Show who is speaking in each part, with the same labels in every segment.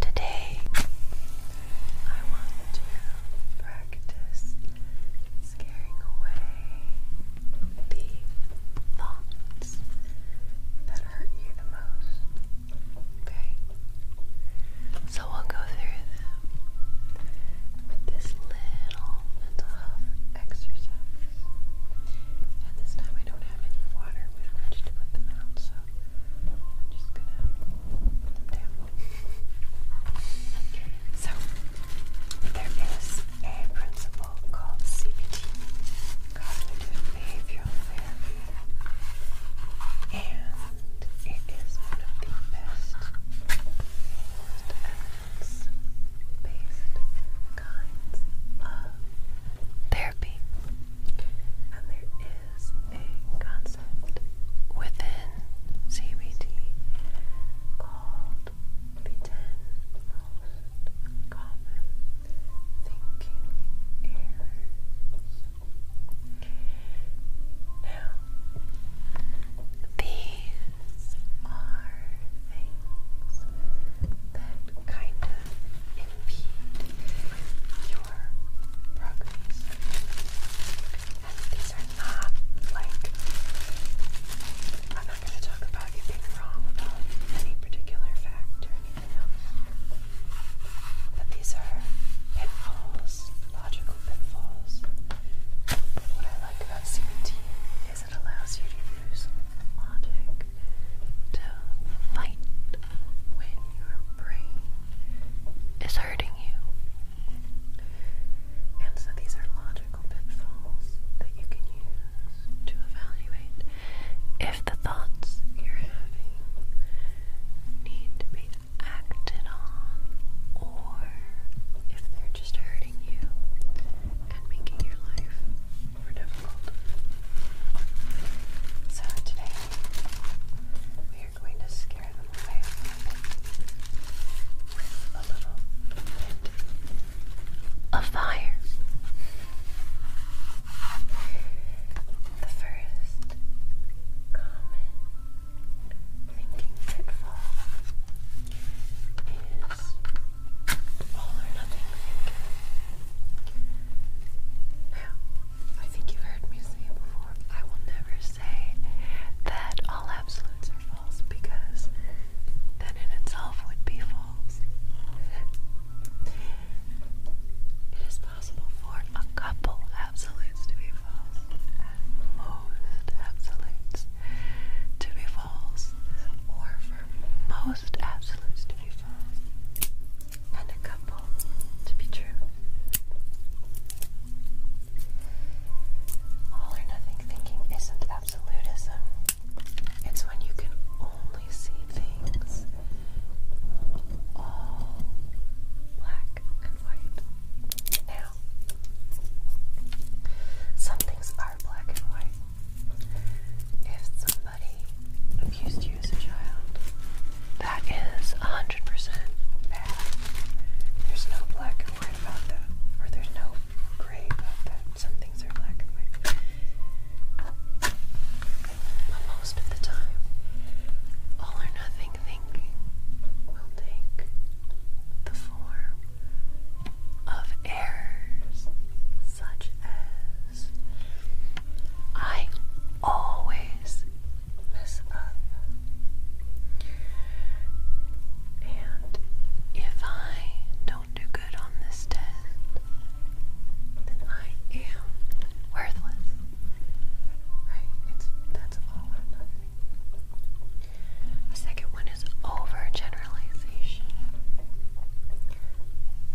Speaker 1: Today, I want to practice scaring away the thoughts that hurt you the most. Okay? So we'll go through them with this little mental health exercise. And this time I don't have any water with which to put them out, I'm So, there is a principle called CBT, Cognitive Behavioral Therapy, and it is one of the best, most evidence based kinds of therapy is a concept within CBT called the common thinking errors. Now, these are things that kind of impede your progress. And these are not like I'm not going to talk about you being wrong about any particular fact or anything else. But these are pitfalls, logical pitfalls. What I like about CBT is it allows you to use logic to fight when your brain is hurting you. And so these are logical pitfalls that you can use to evaluate if the thoughts you're having need to be acted on or if they're just hurting you and making your life more difficult. So today we are going to scare them away with a little bit of fire. The first common thinking pitfall is all or nothing thinking. I think you've heard me say before. I will never say that all absolutes are false because then in itself would be false. It is possible for a couple absolutes to be false, most absolutes to be false, or for most absolutes to be false and a couple to be true. All or nothing thinking isn't absolutism, it's when you can only see things all black and white. Now, some things are black and white. If somebody abused you as a child, that is 100% bad. There's no black and white about that, or there's no gray about that. Some things are black and white. But most of the time, all or nothing thinking will take the form of errors, such as I always mess up. And if I don't do good on this test, then I am worthless. Right? It's that's all or nothing. The second one is overgeneralization.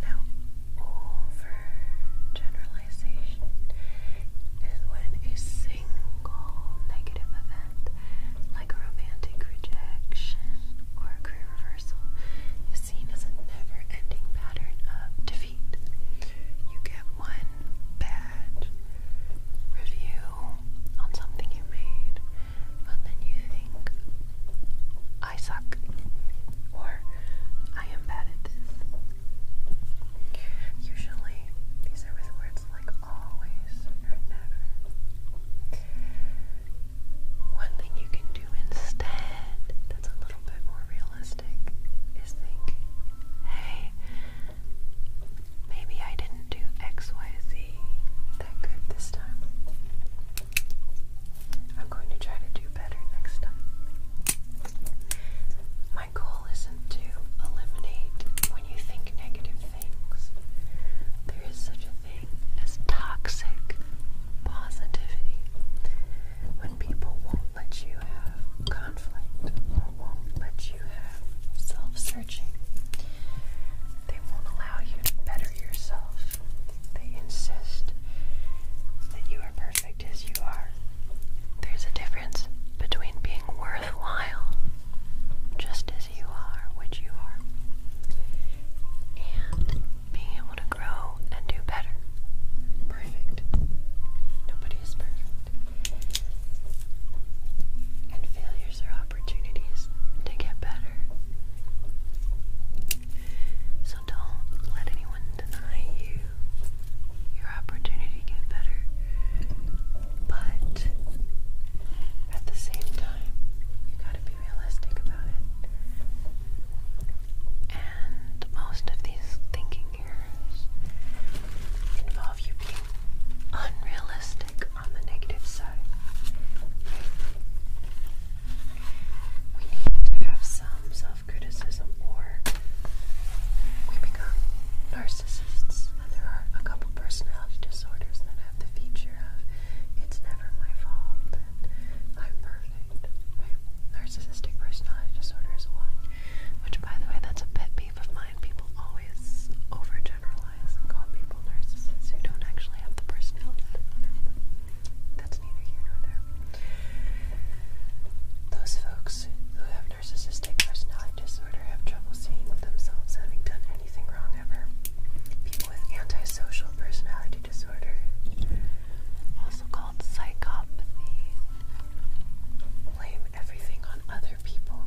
Speaker 1: Now, Overgeneralization is when a single negative event, like a romantic rejection or a career reversal, is seen as a never ending pattern of defeat. You get one bad review on something you made, but then you think, I suck or I am bad at this. Usually these are words like always or never. One thing you can do instead that's a little bit more realistic is think, hey, maybe I didn't do XYZ that good this time. I'm going to try to do better next time. My goal isn't to eliminate when you think negative things. There is such a thing as toxic positivity. When people won't let you have conflict or won't let you have self searching, they won't allow you to better yourself. They insist that you are perfect as you are. There's a difference between being worthwhile, just as you are, which you are, and being able to grow and do better. Perfect. Nobody is perfect. And failures are opportunities to get better. So don't let anyone deny you your opportunity to get better. But at the same time, you gotta be realistic about it. And most of these thinking errors involve you being unrealistic on the negative side. We need to have some self self criticism or we become narcissists. And there are a couple personality disorders that have the feature of it's never my fault I'm perfect. Narcissistic personality disorder is one, which, by the way, that's a pet peeve of mine. People always overgeneralize and call people narcissists who don't actually have the personality disorder neither here nor there. Those folks who have narcissistic personality disorder have trouble seeing themselves having done anything wrong ever. People with antisocial personality disorder, also called psychopathy, blame everything on other people.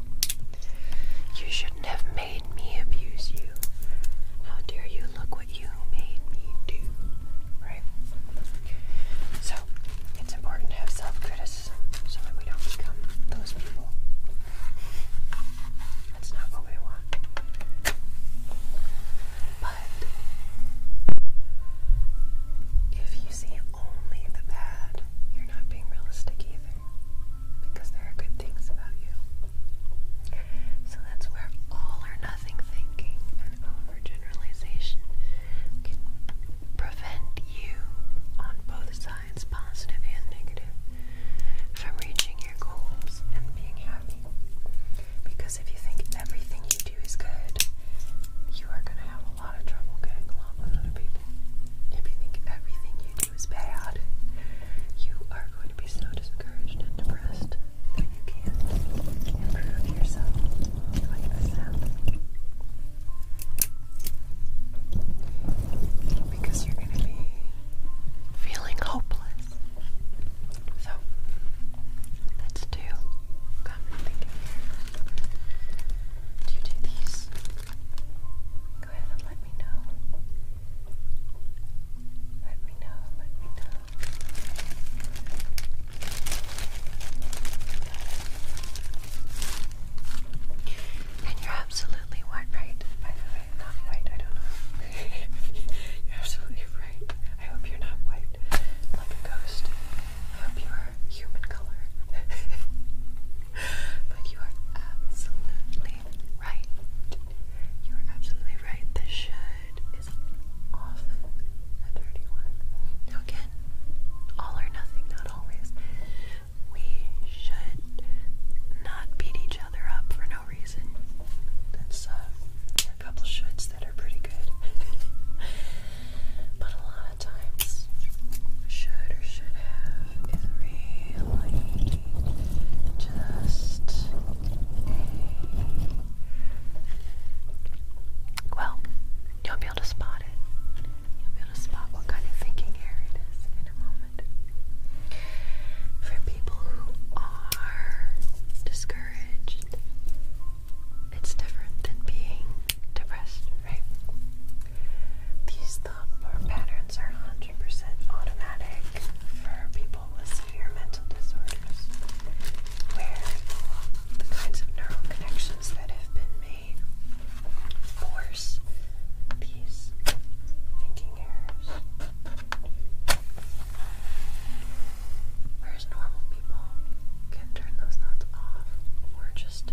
Speaker 1: You shouldn't have made me abuse you. How dare you look what you made me do, right? So, it's important to have self criticism so that we don't become those people. That's not what we want. But, if you see only the bad, you're not being realistic either. Because there are good things about you. So that's where all or nothing thinking and overgeneralization can prevent you on both sides, positive and negative, from reaching your goals and being happy. Because if you think everything you do is good, you are going to have a lot of trouble getting along with other people. If you think everything you do is bad, you are going to be so discouraged and depressed that you can improve yourself like this happens. Because you're going to be feeling hopeless. So, let's do common thinking here. Do you do these? Go ahead and let me know and you're absolutely what, right? By the way, not white, I don't know. you're absolutely right. I hope you're not white, like a ghost. I hope you are human color. but you are absolutely right. You are absolutely right. The should is often a Now, again, all or nothing, not always. We should not beat each other up for no reason. That's uh, a couple shoulds that are pretty good. but a lot of times, should or should have is really just well, you'll be able to spot it. You'll be able to spot what kind of thinking it is in a moment. For people who are discouraged, it's different than being depressed, right? These thought patterns are 100% automatic for people with severe mental disorders, where the kinds of neural connections that have been made force these thinking errors. Whereas normal people can turn those thoughts off, or just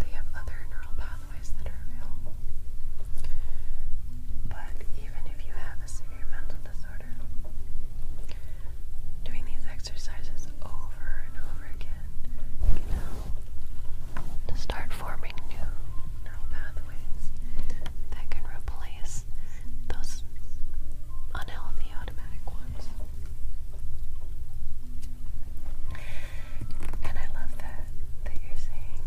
Speaker 1: they have other neural pathways that are available. But even if you have a severe mental disorder, disorder. Doing these exercises over and over again to start forming new neural pathways that can replace those unhealthy automatic ones. And I love that that you're saying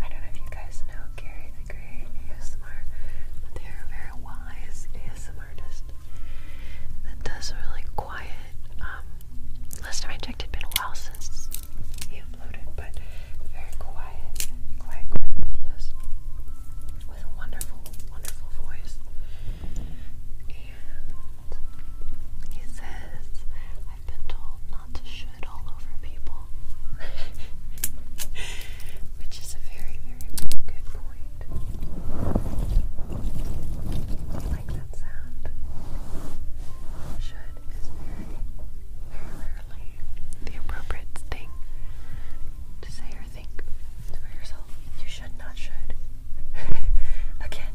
Speaker 1: I don't know if you guys know Gary the Grey ASMR, they're a very wise ASMR artist that does really quiet. Um, last time I checked, it'd been a while since he uploaded, but very quiet, quiet, quiet videos with a wonderful, wonderful voice. And he says, I've been told not to show shit all over people. Which is a very, very, very good point. You like that sound? Should is very, very rarely the appropriate thing to say or think for yourself. You should not should. Again,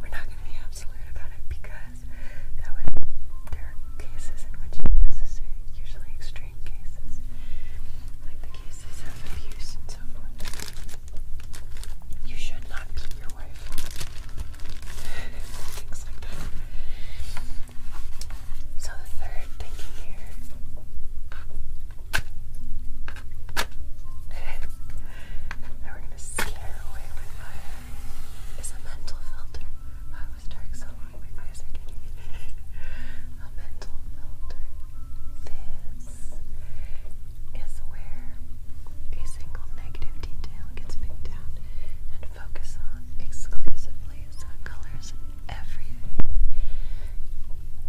Speaker 1: we're not going to be absolute about it because because there are cases in which it's necessary, usually extreme cases, like the cases of abuse so forth. You should not beat your wife. Things like that. So the third thinking here. now we're gonna scare away with is a mental filter. I was dark so long, my eyes are getting a mental filter. This is where a single negative detail gets picked out and focused on exclusively, colors everything.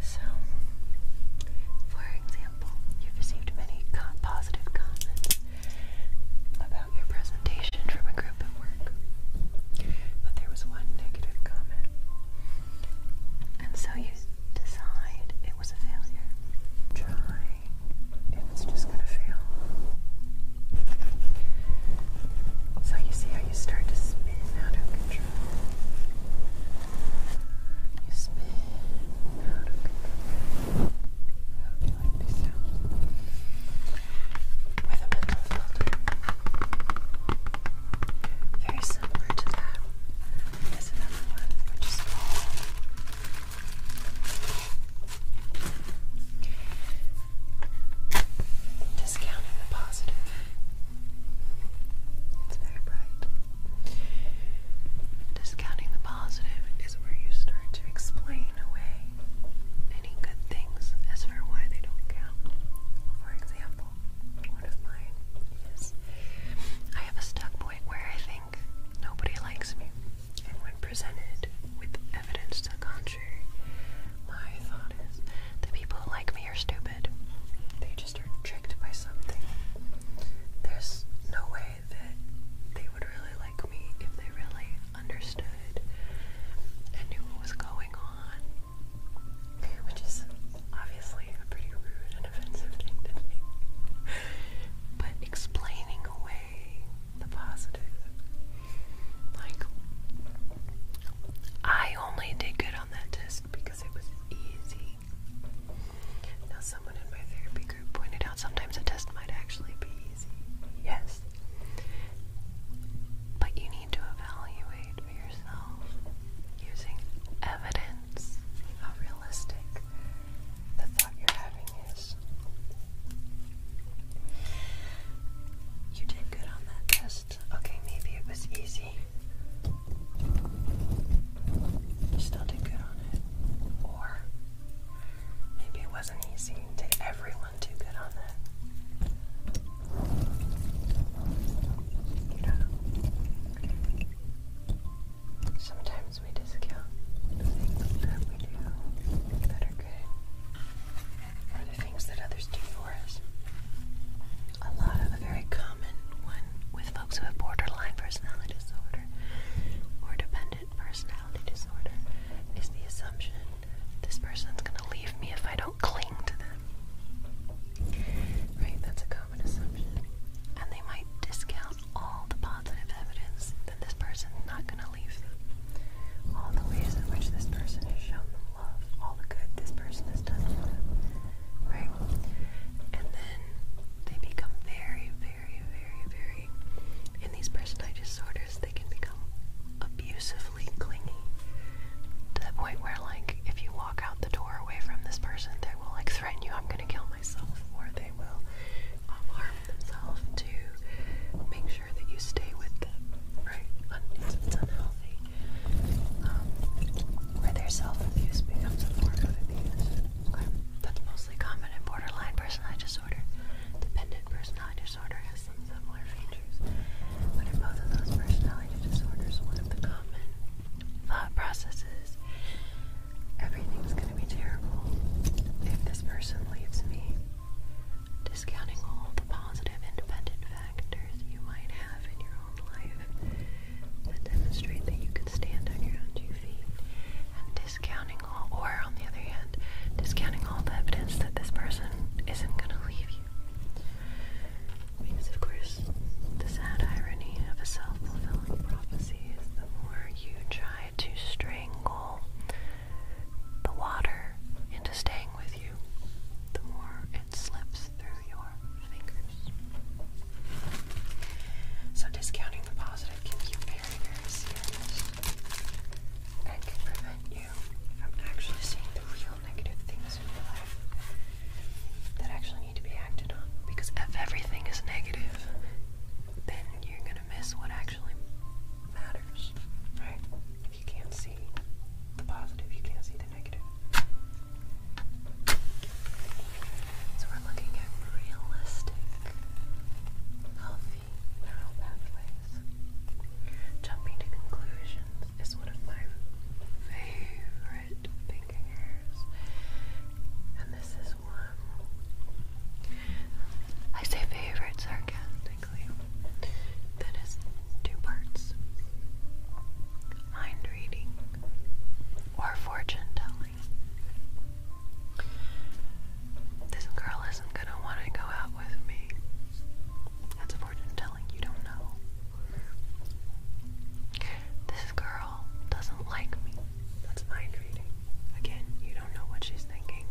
Speaker 1: So, for example, you received many positive comments about your presentation from a group at work. But there was one negative comment. And so you decide it was a failure. Try if it's just going to fail. So you see how you start to spin out of control. You spin out of control. Very similar to that is another one, Discounting the Positive. It's very bright. Discounting the positive is where you start to explain away any good things as for why they don't count. For example, one of mine is I have a stuck point where I think nobody likes me, and when presented with evidence to the contrary, my thought is the people who like me are stupid. They just are tricked by something. There's no way that they would really like me if they really understood and knew what was going on, which is obviously a pretty rude and offensive thing to me. But explaining away the positive, like, I only did good on that test because it was easy. Now, someone in my therapy group pointed out sometimes a test might actually be Yes. But you need to evaluate yourself using evidence how realistic the thought you're having is. You did good on that test. Okay, maybe it was easy. You still did good on it. Or maybe it wasn't easy to everyone one too that. Sometimes we discount things that we do that are good, or the things that others do for us. A lot of a very common one with folks who have borderline personality disorder or dependent personality disorder is the assumption this person's gonna leave me if I don't cling to them. Right, that's a common assumption. And they might discount all the positive evidence that this person's not gonna leave them. All the ways in which this person has shown them love, all the good this person has done for them. Right? And then they become very, very, very, very necessary. In these personality disorders, they can become abusively clingy to the point where, like, if you walk out the door away from this person, they will, like, threaten you, I'm gonna kill myself, or they will um, harm themselves to make sure that you stay with them, right? Un it's unhealthy. Um, where their self abuse becomes a form of abuse. Okay. That's mostly common in borderline personality disorder, dependent person personality disorder has some similar features, but in both of those personality disorders, one of the common thought processes everything's going to be terrible if this person leaves me. Discounting all the positive independent factors you might have in your own life that demonstrate that you can stand on your own two feet discounting all, or on the other hand, discounting all the evidence that this person isn't going to leave you. Because, of course, the sad irony of a self fulfilling prophecy is the more you try to strangle the water into staying with you, the more it slips through your fingers. So, discounting the positive can keep very, very serious and can prevent you from actually seeing the real negative things in your life that actually need to be acted on. Because if everything is negative, then you're gonna miss what actually matters, right? If you can't see the positive, you can't see the negative. So we're looking at realistic, healthy Jumping to conclusions is one of my favorite thinking errors, and this is one. I say favorite sarcastically. That is two parts mind reading or fortune telling. This girl isn't gonna want to go out with me. That's fortune telling you don't know. This girl doesn't like me. That's mind reading. Again, you don't know what she's thinking.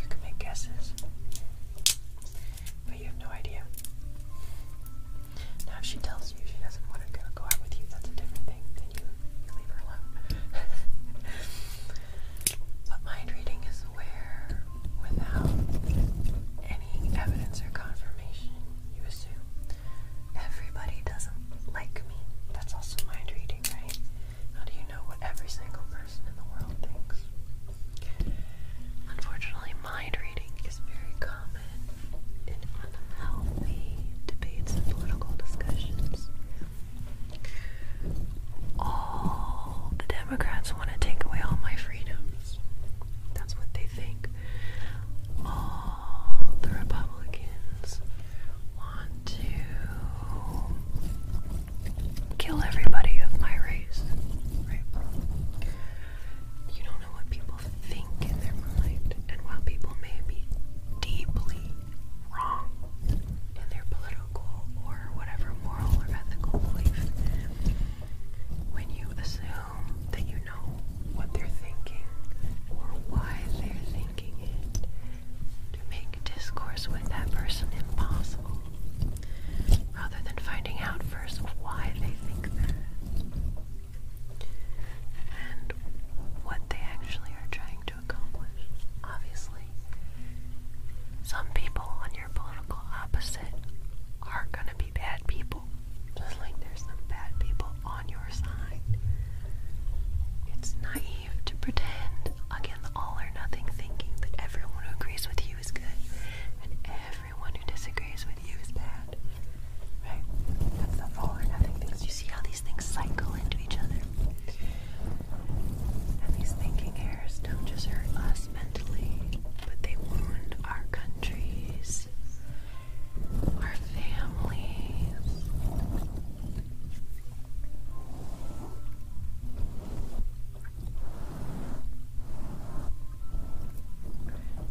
Speaker 1: You can make guesses, but you have no idea. Now, if she tells you she doesn't want to go out with you, that's a different thing. Then you leave her alone. But mind reading is where, without any evidence or confirmation, you assume everybody doesn't like me. That's also mind reading, right? How do you know what every single person in the world thinks? Unfortunately, mind reading is very common in unhealthy debates and political discussions all the Democrats want to take away all my freedoms. That's what they think. All the Republicans want to kill everybody of my race. Right? You don't know what people think in their mind, and while people may be deeply wrong in their political or whatever moral or ethical belief. When you assume that you know what they're thinking or why they're thinking it, to make discourse with that person impossible, rather than finding out first why they think that and what they actually are trying obviously. Some people on your political opposite are going to be bad people, just there's some bad people on your side. It's naive to pretend, again, all or nothing thinking, that everyone who agrees with you is good and everyone who disagrees with you is bad. Right? That's the all or nothing things. You see how these things cycle into each other. And these thinking errors don't just hurt us mentally, but they wound our countries, our families.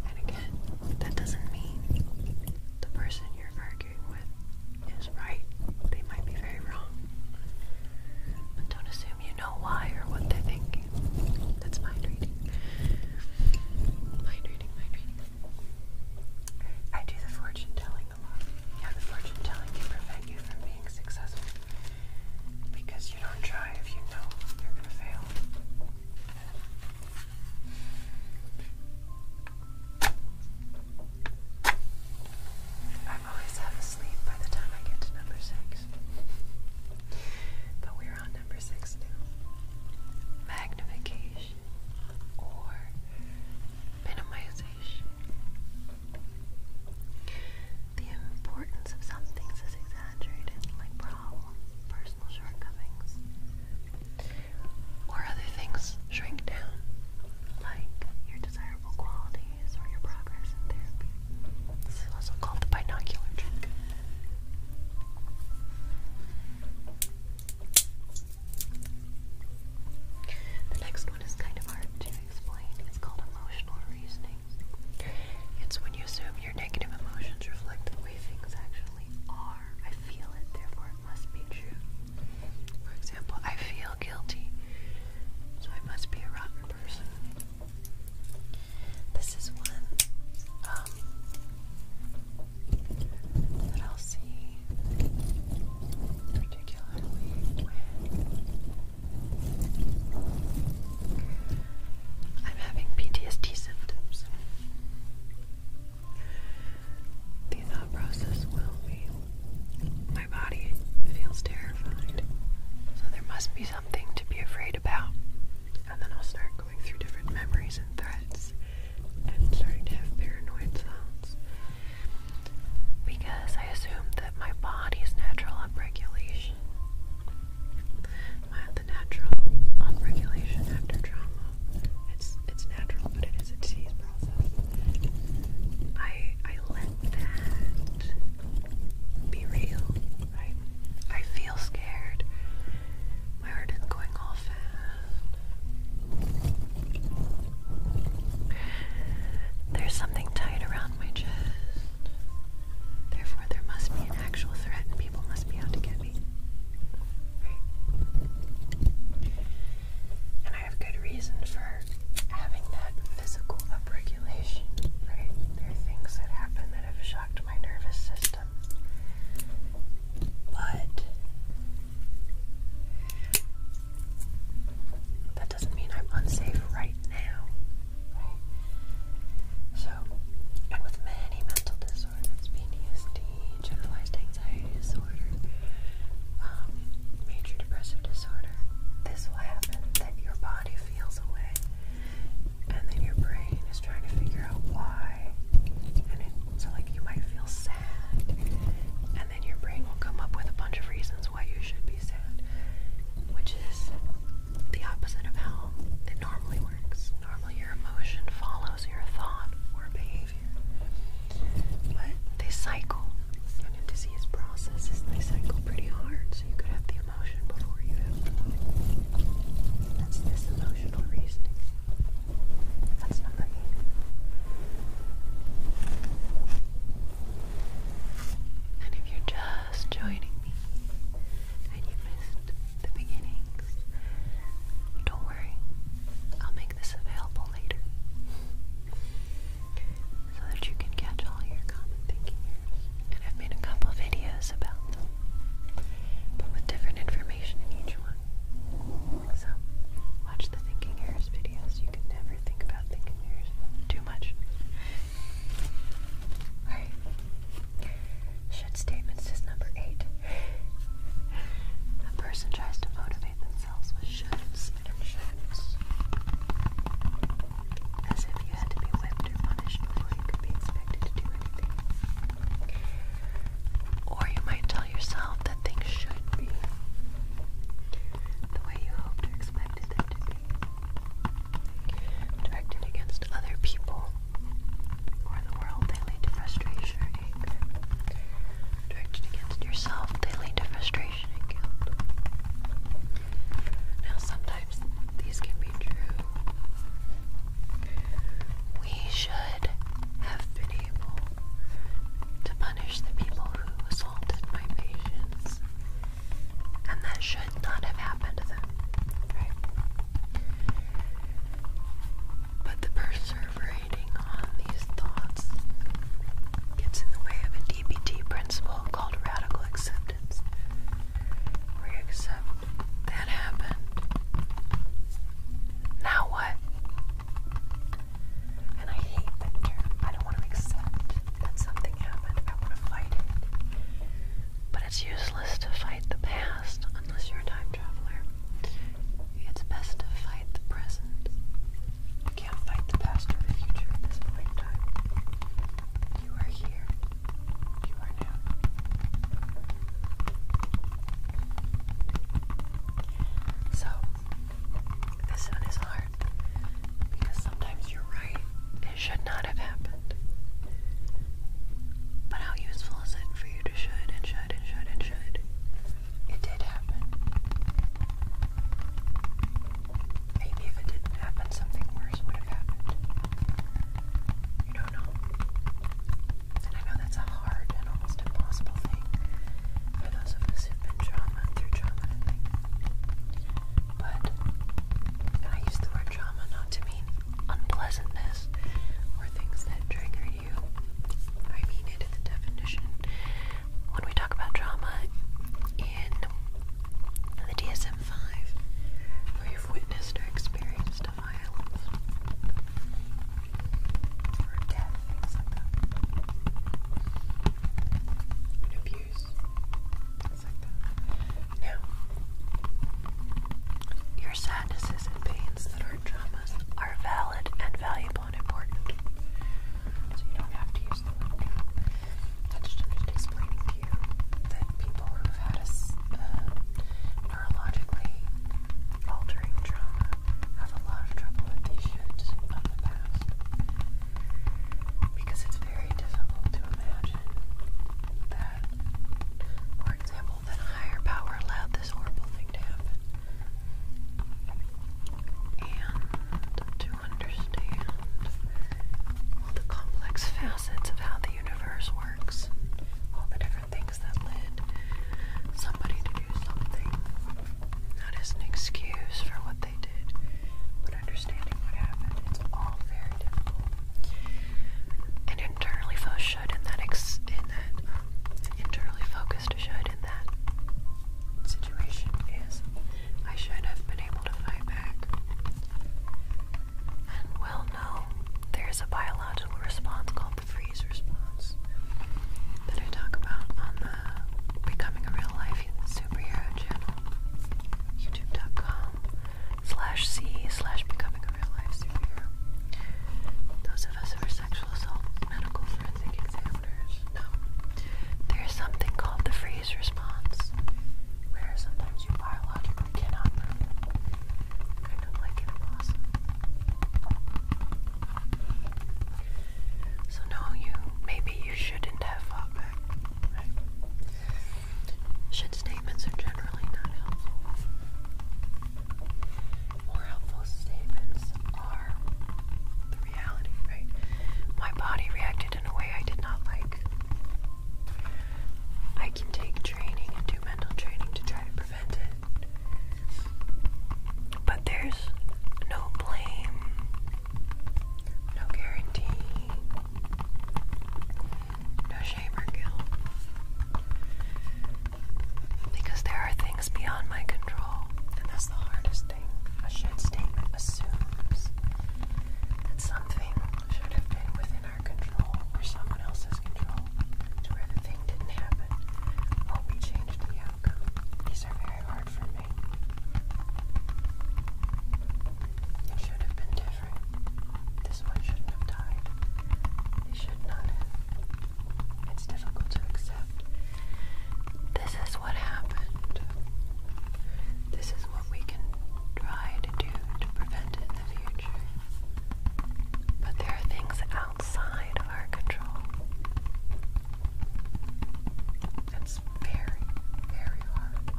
Speaker 1: And again, that doesn't mean the person you're is right, they might be very wrong. don't assume you know why or what they're That's mind reading. Mind reading, mind reading. I do the fortune telling a lot. Yeah, the fortune telling can prevent you from being successful. Because you don't try if you know you're gonna fail. I'm always half asleep by the time I get to number six. But we're on number six now. Magnification or minimization. The importance of some things is exaggerated, like problems, personal shortcomings, or other things shrink down like your desirable qualities or your progress in therapy. This is also called the binocular trick. The next one is kind of hard to explain. It's called emotional reasoning. It's when you assume your negative emotions reflect the way things actually are. I feel it, therefore must be true. For example, I feel guilty, so I must be a rotten person. This is one um, that I'll see particularly I'm having PTSD symptoms. The thought process will be my body feels terrified, so there must be something to be afraid about. And then I'll start going through different memories and threats and starting to have paranoid thoughts because I assume that my body's natural upregulation, my, the natural upregulation after trauma, it's it's natural, but it I I let that be real. Right? I feel scared. My heart is going all fast. There's something tight around my chest. Therefore, there must be an actual threat, people must be out to get me. Right? I have good reason for having that physical upregulation, right? There are things that happen that have shocked my nervous system. But that doesn't mean I'm unsafe right now, right? So, and with many mental disorders, PTSD, generalized um, major depressive disorder, this will happen that your body feels a way, and then your brain is trying to figure out why. And so, like, you might feel sad, and then your brain will come up with a bunch of reasons why you should be sad, which is the opposite of how it normally works. Normally, your emotion follows your thought or behavior here. But they cycle. And a disease process is they cycle pretty hard. So you could have the emotion before you have the body. That's this emotional reasoning. That's number eight. And if you're just joining me and you missed the beginnings, don't worry. I'll make this available later so that you can catch all your common thinking And I've made a couple videos about them, but with different information in each one. So, watch the thinking errors videos. You can never think about thinking errors too much. Alright. Should statements is number eight. A person tries to motivate themselves with shirts and shirts. As if you had to be whipped or punished before you could expected to do anything. Or you might tell yourself that things should be the way you hoped or expected them to be. Directed against other people or the world, they lead to frustration Directed against yourself, they lead to frustration and guilt. Now, sometimes these can be true. We should have been able to punish the people who assaulted my patients, and that should not have happened to them, But the person reverberating on these thoughts gets in the way of a DBT principle called radical acceptance, where accept that happened. Now what? And I hate that term. I don't want to accept that something happened. I want to fight it. But it's useless to fight the past unless you're a time traveler. It's best to fight the present. You can't fight the past or the future at this point in time. You are here. You are now. So, this one is hard because sometimes you're right. It should not have happened. But how useful is it for you to should and should and should and should? it did happen. Maybe if it didn't happen, something worse would have happened. You know. And I know that's a hard and almost impossible thing for those of us who've been trauma through trauma, But I use the word trauma not to mean unpleasantness or things that trigger I mean it the definition. When we talk about trauma in the DSM 5, where you've witnessed or experienced a violence or death, things abuse, Now, your sadnesses and pains that are traumas are valid and valuable unimportant. So you don't have to use the link. That's just explaining to you that people who've had a uh, neurologically altering trauma have a lot of trouble with issues of the past. Because it's very difficult to imagine that, for example, that a higher power allowed this horrible thing to happen and to understand all the complex facets of how the universe works, all the different things that led somebody to do something, not as an excuse for what they did, but understanding what happened. It's all very difficult. And internally focused should that ex that internally focused I should have been able to fight back. well, no, there's a biological response called the freeze response that I talk about on the Becoming a Real Life Superhero channel, youtube.com slash C Those of us who are sexual assault medical there's something called the freeze response, where sometimes you biologically cannot move. Kind of like a possum. So no, you maybe you shouldn't have fought back. Should statements are generally not helpful more helpful statements are the reality, right? My body reacted in a way I did not like. I can take training and do mental training to try to prevent it. But there's no blame, no guarantee, no shame or guilt. Because there are things beyond my control. And that's the hardest thing. A should statement assumes that something should have been within our control or someone else's control to where the thing didn't happen or we changed the outcome. These are very hard for me. It should have been different. This one shouldn't have died. It should not have. It's difficult to accept. This is what happened. This is what we can try to do to prevent it in the future. But there are things outside of our control. That's very, very hard.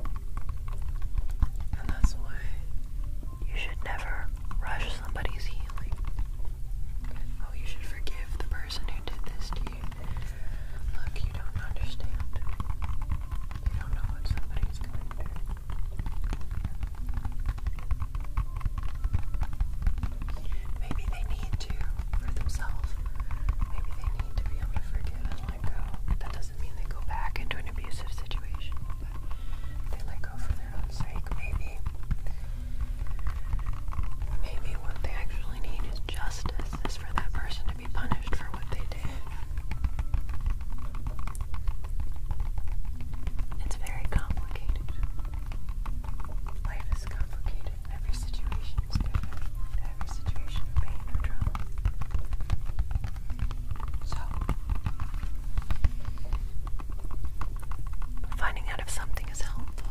Speaker 1: And that's why you should never rush somebody's healing. Oh, you should forgive the person who did this to you. Look, you don't understand. You don't know what somebody's going through. Maybe they need to for themselves. Maybe they need to be able to forgive and let go. That doesn't mean they go back into an abusive situation, but they let go for their their own sake, maybe. Maybe what they actually need is justice, is for that person to be punished for what they did. It's very complicated. Life is complicated. Every situation is different. Every situation pain or trauma. So, finding out if something is helpful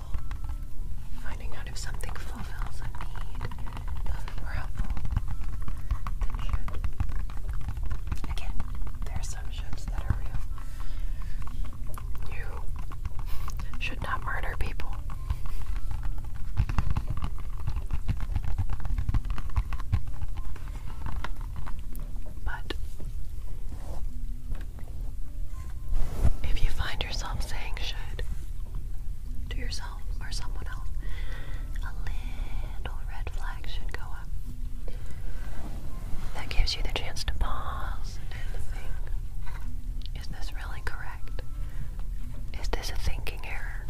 Speaker 1: Finding out if something fulfills a need of it more helpful Again, there are some shoulds that are real. You should not murder people. But if you find yourself saying should to yourself or someone else, a little red flag should go up. That gives you the chance to pause and think Is this really correct? Is this a thinking error?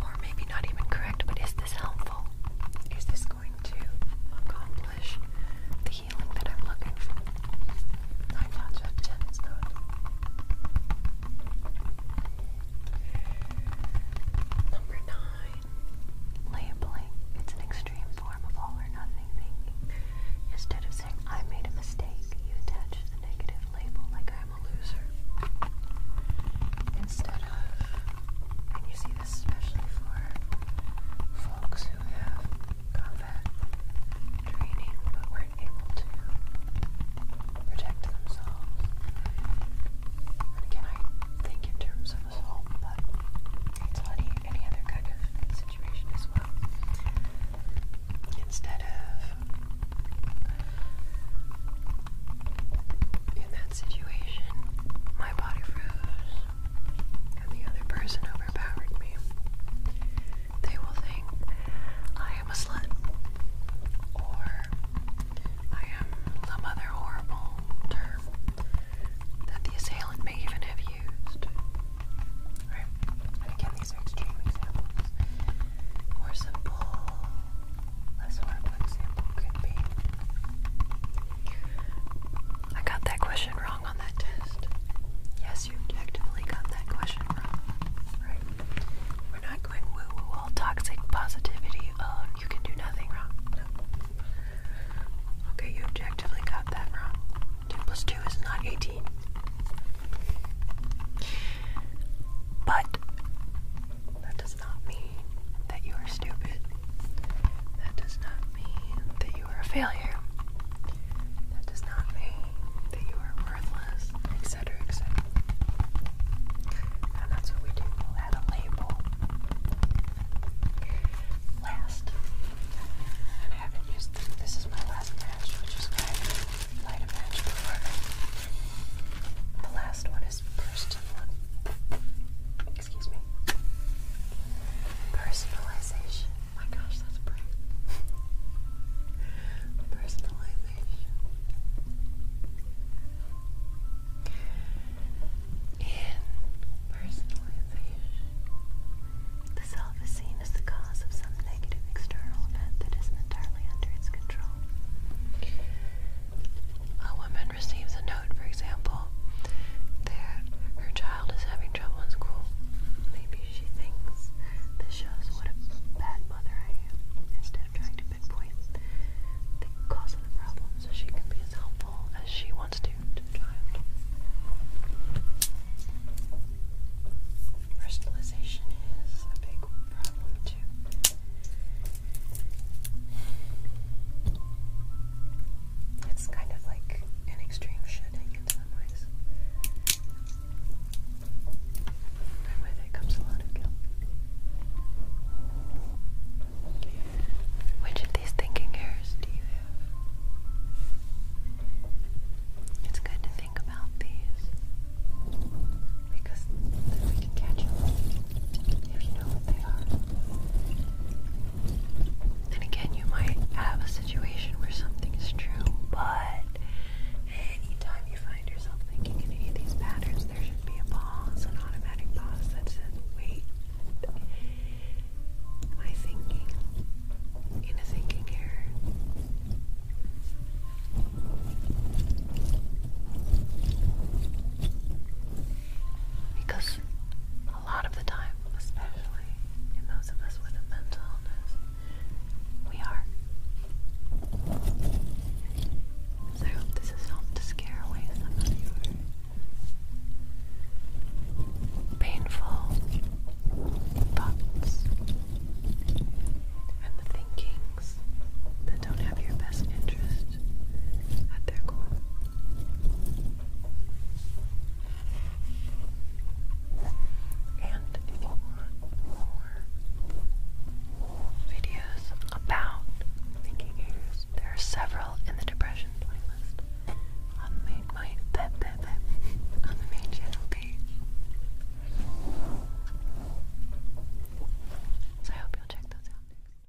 Speaker 1: Or maybe not even correct, but is this helpful? Is this I'm looking for. I know Number nine, labeling. It's an extreme form of all or nothing thinking. Instead of saying, I made a mistake, you attach the negative label like I'm a loser. Instead of, especially for folks who have combat training but weren't able to protect themselves. And again, I think in terms of assault, but any, any other kind of situation as well. Instead of in that situation, my body froze and the other person overpowered me, they will think I am a slut or I am some other horrible term that the assailant may even have used. And again, these are extreme examples. More simple, less horrible example could be I got that question wrong on that test. Yes, you objectively got that question wrong. Right. We're not going woo woo all toxic positivity. Oh, you can do nothing wrong. Okay, you objectively got that wrong. 2 plus 2 is not 18. But that does not mean that you are stupid. That does not mean that you are a failure. That does not mean that you are worthless, etc., etc. And that's what we do. we add a label last. And I haven't used this. This is my last match, which is why I light a match before. The last one is first Personalization. My gosh, that's brave. Personalization. In personalization, the self is seen as the cause of some negative external event that isn't entirely under its control a woman receives a note, for example, that her child is having trouble in school, maybe she thinks this shows what a bad mother I am instead of trying to pinpoint the cause of the problem she can be as helpful as she wants to Personalization is a big problem too. It's kind of like an extreme shedding in some ways. And with it comes a lot of guilt. Which of these thinking errors do you have? It's good to think about these because then we can catch them if you know what they are. And again, you might have a situation where something's true, but anytime you find yourself thinking any of these patterns, there should be a pause, an automatic pause that says, wait, am I thinking in a thinking error? Because a lot of the time, especially in those of us with a mental illness, we are. I hope this has helped to scare away some of your painful thoughts and the thinkings that don't have your best interest just And if you want more videos about thinking ears, there are several in the depression playlist on the main channel page. So I hope you'll check those out.